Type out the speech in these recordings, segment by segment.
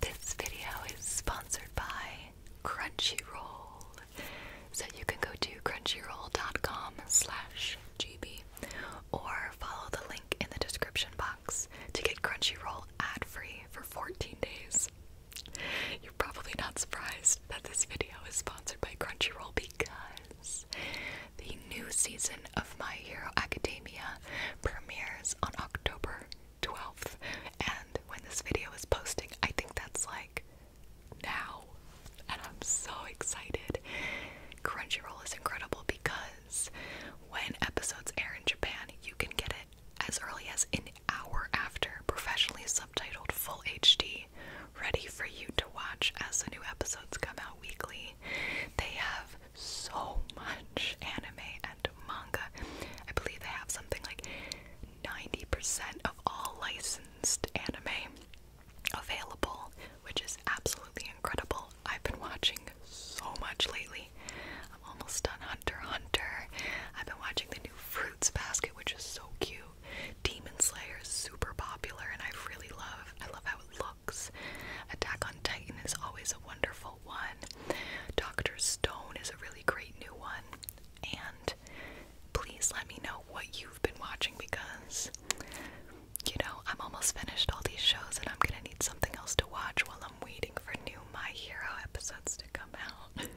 This video is sponsored by Crunchyroll. So you can go to crunchyroll.com slash GB or follow the link in the description box to get Crunchyroll ad-free for 14 days. You're probably not surprised that this video is sponsored by Crunchyroll because the new season of My Hero Academia premieres on October 12th. And when this video is posting, I think that's like now. And I'm so excited. Crunchyroll is incredible because when episodes air in Japan, you can get it as early as an hour after, professionally subtitled Full HD, ready for you to watch as the new episodes come out weekly. They have so much anime and manga. I believe they have something like 90% of all licensed anime available, which is absolutely incredible. I've been watching so much lately. I'm almost done Hunter Hunter. I've been watching the new Fruits Basket, which is so cute. Demon Slayer is super popular and I really love I love how it looks. Attack on Titan is always a wonderful one. Doctor Stone is a really great new one. And please let me know what you've been watching because, you know, I'm almost finished all these shows and I'm gonna need something else to watch while I'm waiting for new My Hero episodes to come out.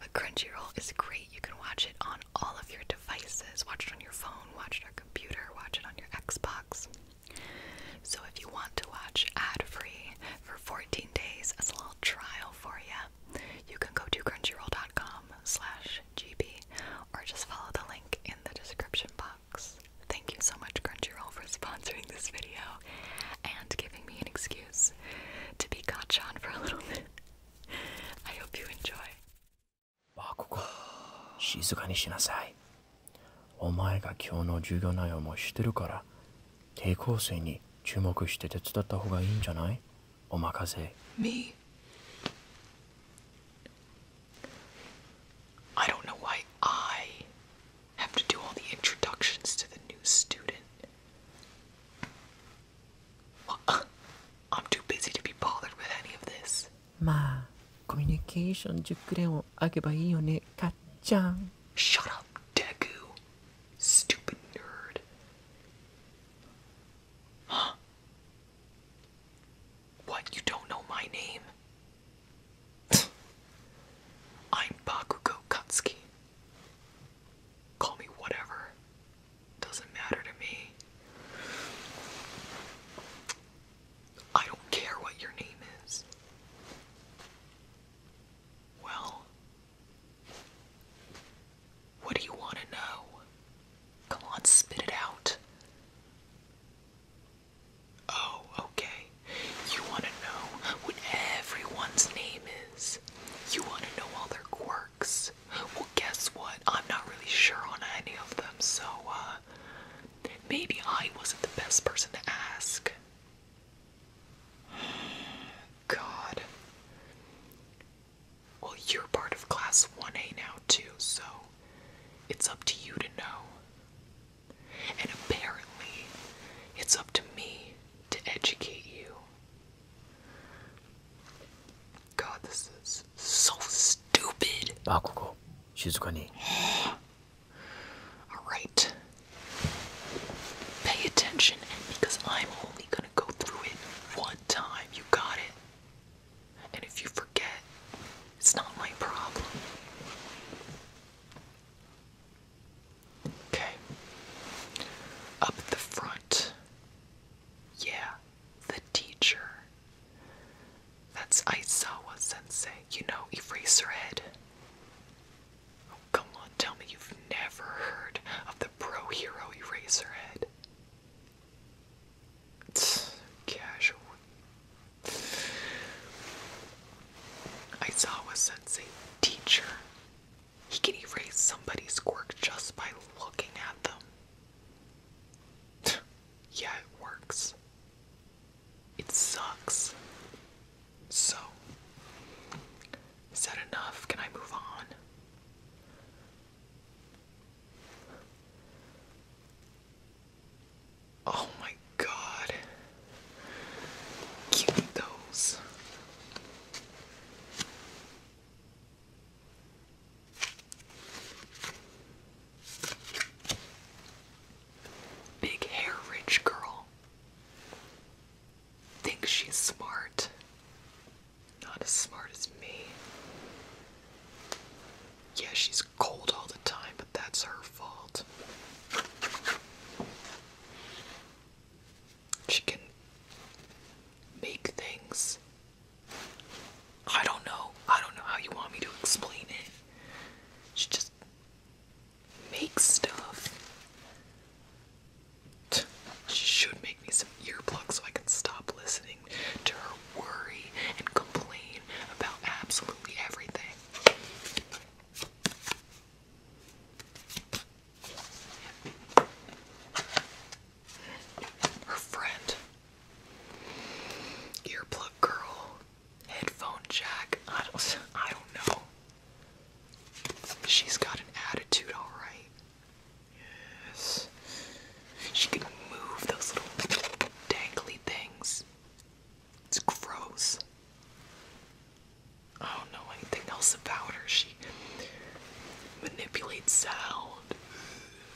but Crunchyroll is great. You can watch it on all of your devices. Watch it on your phone, watch it on your computer, watch it on your Xbox. So if you want to watch ad-free for 14 days as a little trial for you, you can go to crunchyroll.com slash gb or just follow the link in the description box. Thank you so much Crunchyroll for sponsoring this video and giving me an excuse to be gotcha on for a little bit. I hope you enjoy. バーココ、静かにしなさい。お前が今日の授業内容も知ってるから、抵抗性に注目して手伝った方がいいんじゃないお任せ。Me? I don't know why I have to do all the introductions to the new student. Well, I'm too busy to be bothered with any of this. まあコミュニケーション熟練をあげばいいよねかっちゃん Shut up, Deku! Stupid nerd! Huh? What, you don't know my name? I'm Bakugo Katsuki. Call me whatever. Doesn't matter to me. I don't care what your name is. Well, what do you want to know? Come on, spit it out. Oh, okay. You want to know what everyone's name is. You want to know all their quirks. Well, guess what? I'm not really sure on any of them, so, uh, Maybe I wasn't the best person to ask. God. Well, you're part of class 1A now, too, so it's up to you to know. And apparently, it's up to me to educate you. God, this is so stupid. あ、ここ。静かに。Alright. Ah, Pay attention because I'm only gonna go through it one time. You got it? And if you forget, it's not my problem. Okay. Up the front. Yeah, the teacher. That's Aizawa sensei. You know Eraserhead? Oh, come on, tell me you've never heard of the pro hero Eraserhead. It's casual. Aizawa sensei, teacher. He can erase somebody's quirk just by looking at them. yeah, it works. It sucks. So, is that enough? Can I move on? Oh my god. Give me those. Big hair, rich girl. Thinks she's smart. Not as smart as me. Yeah, she's cold all the time, but that's her fault. She can make things I don't know. I don't know how you want me to explain it. She just makes stuff. She should make me some earplugs so I can stop listening to her worry and complain about absolutely everything her friend, earplug girl, headphone jack. I don't, I don't know. She's got an attitude, all right. Yes. She can move those little dangly things. It's gross. I don't know anything else about her. She manipulates sound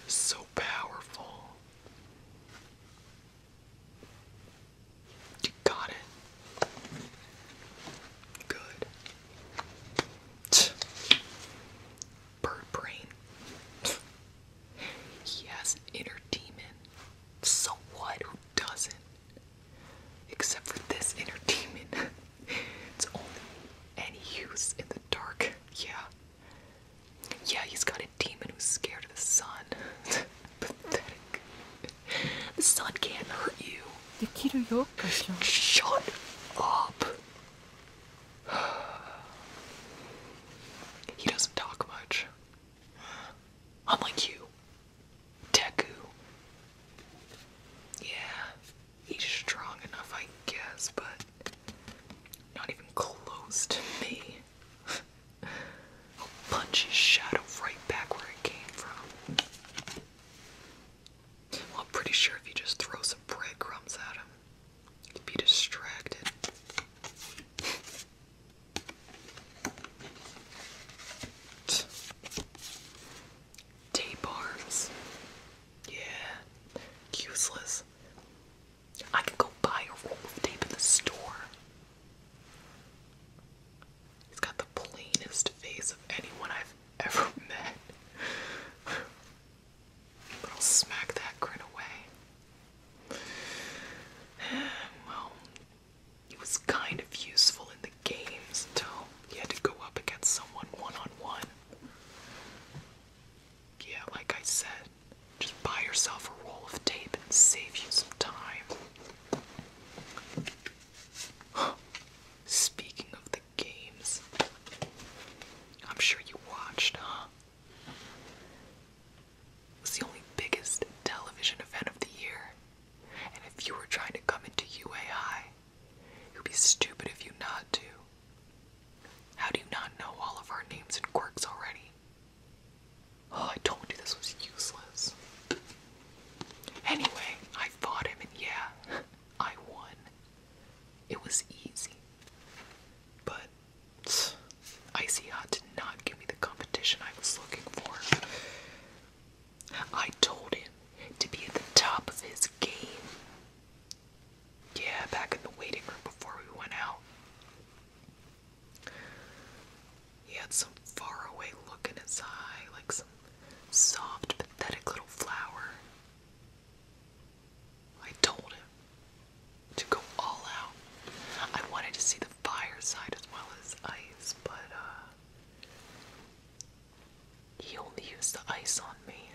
so powerful. You got it. Good. Bird brain. He inner demon. So what? Who doesn't? Except for this inner demon. it's only and he in the dark. Yeah. Yeah, he's got a demon who's scared of the sun. Pathetic. The sun can't hurt you. Shut up. He doesn't talk much. Unlike you. Deku. Yeah he's strong enough, I guess, but not even close to me. I'll punch his shadow right back where it came from. Well, I'm pretty sure if you just throw some breadcrumbs at him, he'd be distracted. Tape arms. Yeah. Useless. I can go buy a roll of tape in the store. He's got the plainest face of anyone I've ever met. I'll smack that grin away. Well, he was kind of useful in the games until he had to go up against someone one on one. Yeah, like I said, just buy yourself a roll of tape and save you some time. Speaking of the games, I'm sure you watched, huh? It the only biggest television event of the year. And if you were trying to come into UAI, you would be stupid if you not to. How do you not know all of our names and quirks already? Oh, I told you this was useless. Anyway, I fought him, and yeah, I won. It was easy. But tch, Icy Hot did not give me the competition I was looking for. I told him to be at the top of his game yeah, back in the waiting room before we went out. He had some faraway look in his eye, like some soft, pathetic little flower. I told him to go all out. I wanted to see the fireside as well as ice, but uh he only used the ice on me.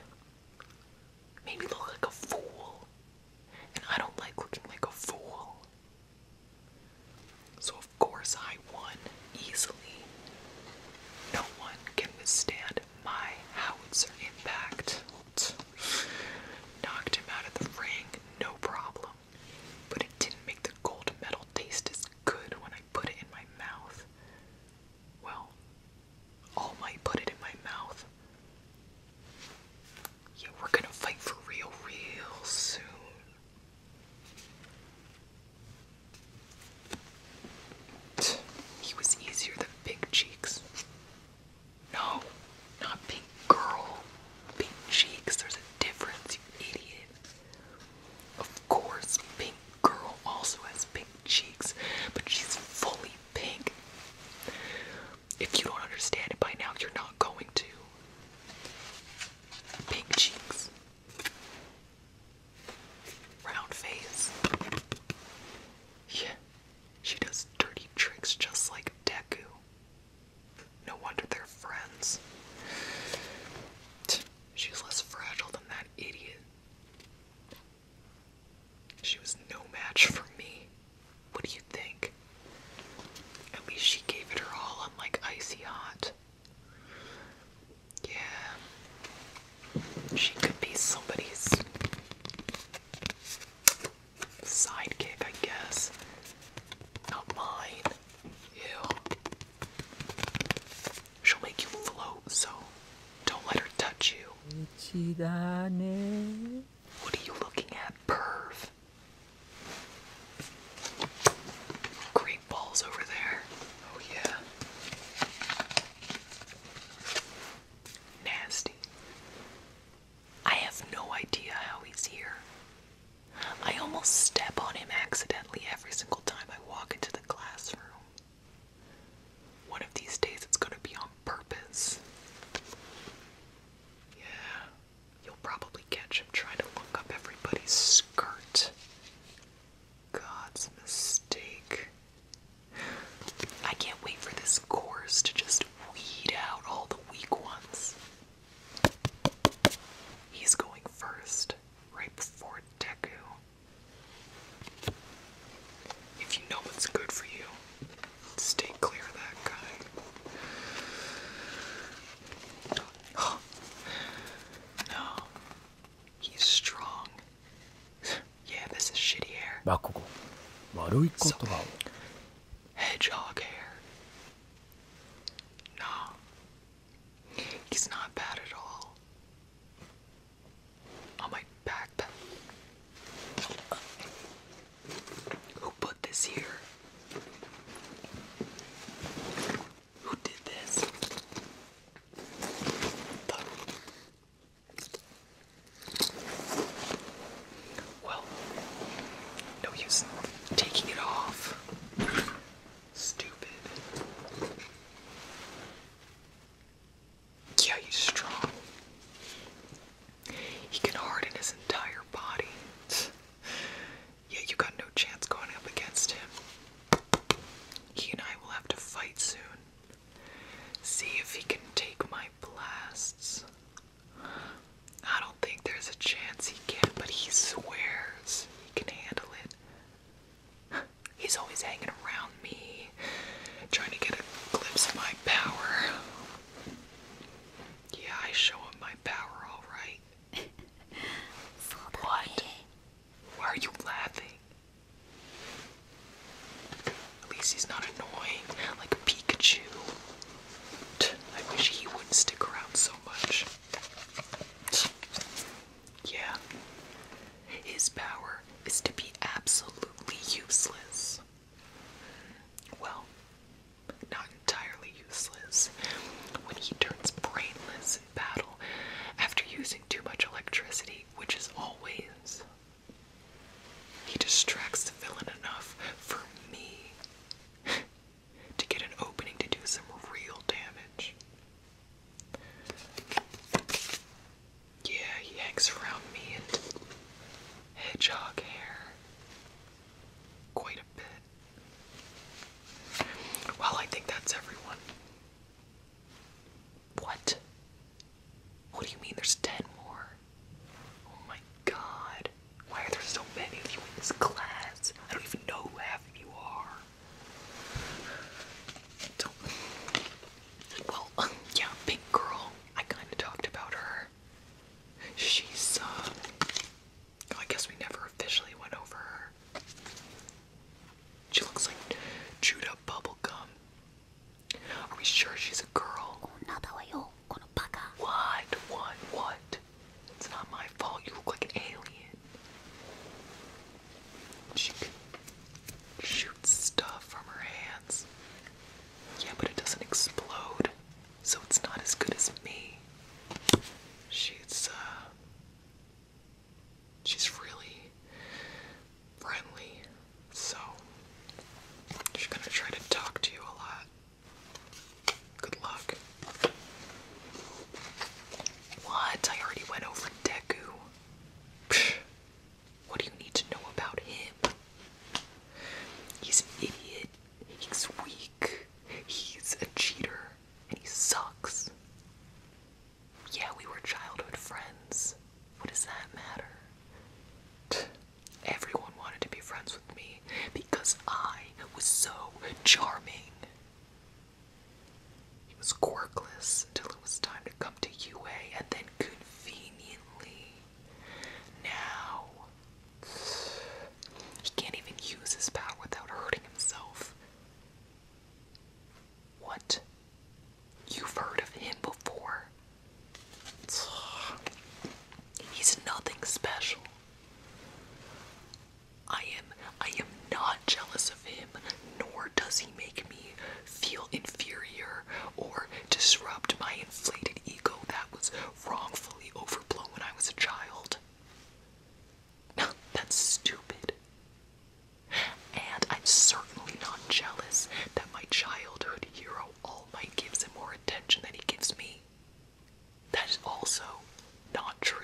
Made me look like a fool. And I don't like looking like a fool. So, of course, I won easily. No one can withstand my howitzer impact. Knocked him out of the ring, no problem. But it didn't make the gold medal taste as good when I put it in my mouth. Well, All Might put it in my mouth. Yeah, we're gonna fight for real, real soon. He was easier than Big Cheeks. No, not Pink Girl. Big Cheeks, there's a difference, you idiot. Of course, Pink Girl also has pink cheeks, but she's fully pink. If you don't understand it by now, you're not going to. Pink cheeks. Round face. Yeah, she does dirty tricks just like Deku. No wonder they're friends. She's less fragile than that idiot. She was no match for me. What do you think? At least she gave it her all. I'm like icy hot. Yeah. She could be somebody's sidekick, I guess. Not mine. Ew. She'll make you float, so don't let her touch you. What are you looking at, perv? Great balls over there. Oh, yeah. Nasty. I have no idea how he's here. I almost step on him accidentally every single time I walk into the classroom. One of these days it's gonna be on purpose. Yeah, you'll probably catch him trying to look up everybody's skirt. God's mistake. I can't wait for this course to just weed out all the weak ones. He's going first right before Deku. If you know what's good for you, stay clear of that guy. No. He's strong. Yeah, this is shitty hair. So, hedgehog hair. No. He's not bad at all. On my backpack. Who put this here? Who did this? Well, no use taking it off. Stupid. Yeah, he's strong. He can harden his entire body. Yeah, you got no chance going up against him. He and I will have to fight soon. See if he can take my blasts. I don't think there's a chance he can, but he swears he can handle it. He's always hanging around me, trying to get a glimpse of my power. Yeah, I show him my power, all right. what? Why are you laughing? At least he's not annoying, like Pikachu. I wish he wouldn't stick around so much. Yeah. His power is to be absolutely useless. Well, not entirely useless. When he turns brainless in battle after using too much electricity, which is always, he distracts the villain enough for me to get an opening to do some real damage. Yeah, he hangs around me and hedgehog hair quite a bit. Well, I think that's everyone. What? What do you mean there's 10 more? Oh my god. Why are there so many of you in this class? I don't even know who well, yeah, Pink Girl. I kind of talked about her. She's, uh, I guess we never officially went over her. She looks like Judah up bubblegum. Are we sure she's a girl? Oh, what? What? What? It's not my fault. You look like an alien. She can shoot stuff from her hands. Yeah, but it doesn't explode, so it's not as good as me. She's, uh. She's really friendly, so she's gonna try to talk to you a lot. Good luck. What? I already went over Deku. what do you need to know about him? He's an idiot. He's weak. He's a cheater. And he sucks. Yeah, we were childhood friends. What does that matter? Everyone wanted to be friends with me because I was so charming. He was quirkless till it was time to come to UA and then conveniently. Now he can't even use his power without hurting himself. What? You've heard of him before. He's nothing special. I am I am not jealous of him, nor does he make me feel inferior or disrupt my inflated ego that was wrongfully overblown when I was a child. that's stupid. And I'm certainly not jealous that my childhood hero all might gives him more attention than he gives me. That is also not true.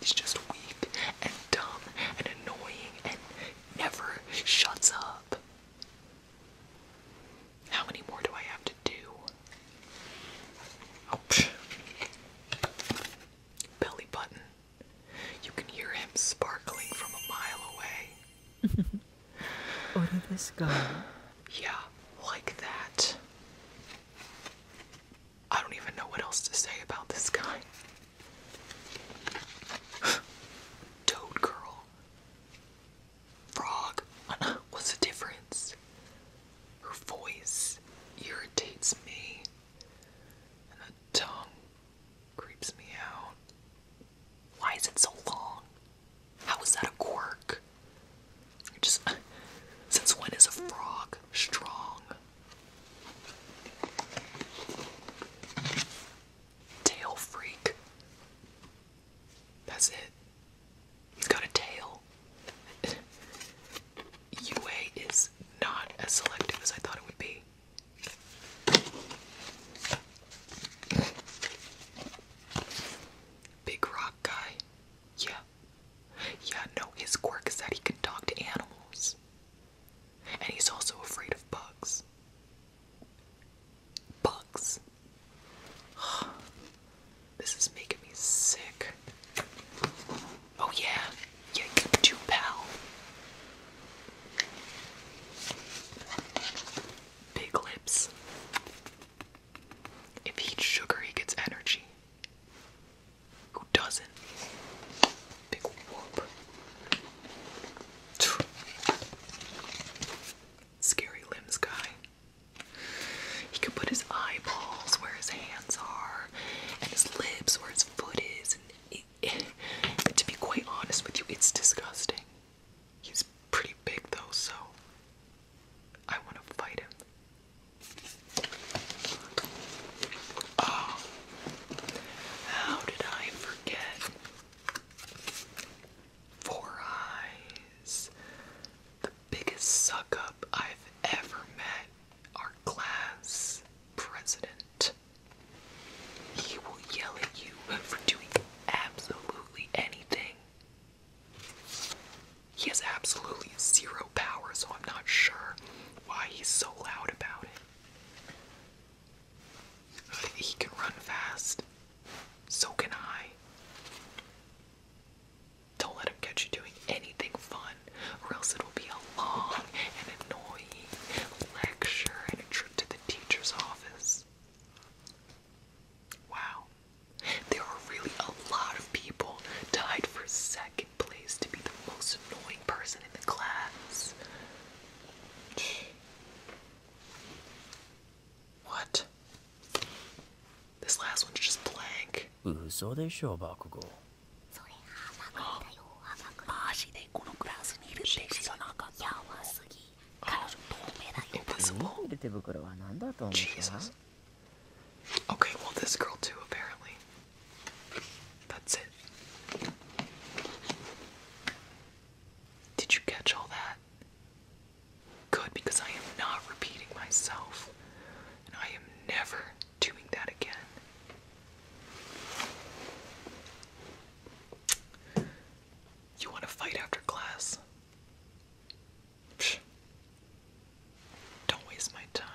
He's just weak and dumb and annoying and never shuts up. How many more do I have to do? Oh, Belly button. You can hear him sparkling from a mile away. Order this guy. Yeah, like that. I don't even know what else to say about this guy. Toad girl. Frog. What's the difference? Her voice irritates me, and the tongue creeps me out. Why is it so long? How is that a quirk? Just since when is a frog strong? Tail freak. That's it. He's got a tail. UA is not as selective as I thought it would be. Big Rock guy? Yeah. Yeah, no, his quirk is that he can talk to animals. And he's also afraid of bugs. Bugs. This is making me sick. Oh, yeah. Yeah, you too, pal. Big lips. If he eats sugar, he gets energy. Who doesn't? Big whoop. Scary limbs guy. He can put his eyeballs where his hands are, and his lips where his foot is, and to be quite honest with you, it's disgusting. He's pretty big though, so I want to fight him. Oh, how did I forget? Four Eyes, the biggest suck up I've ever met, our class president. He will yell at you for doing absolutely anything. He has absolutely zero power, so I'm not sure why he's so loud about it. He can run fast. So can I. Don't let him catch you doing anything fun, or else it'll be a long and annoying lecture and a trip to the teacher's office. Wow. There are really a lot of people tied for second place to be the most annoying person in the class. What? This last one's just blank. 彼女透明だよ Okay, well this girl too apparently That's it Did you catch all that? Good, because I am not repeating myself and I am never doing that again. You want to fight after class? Psh. Don't waste my time.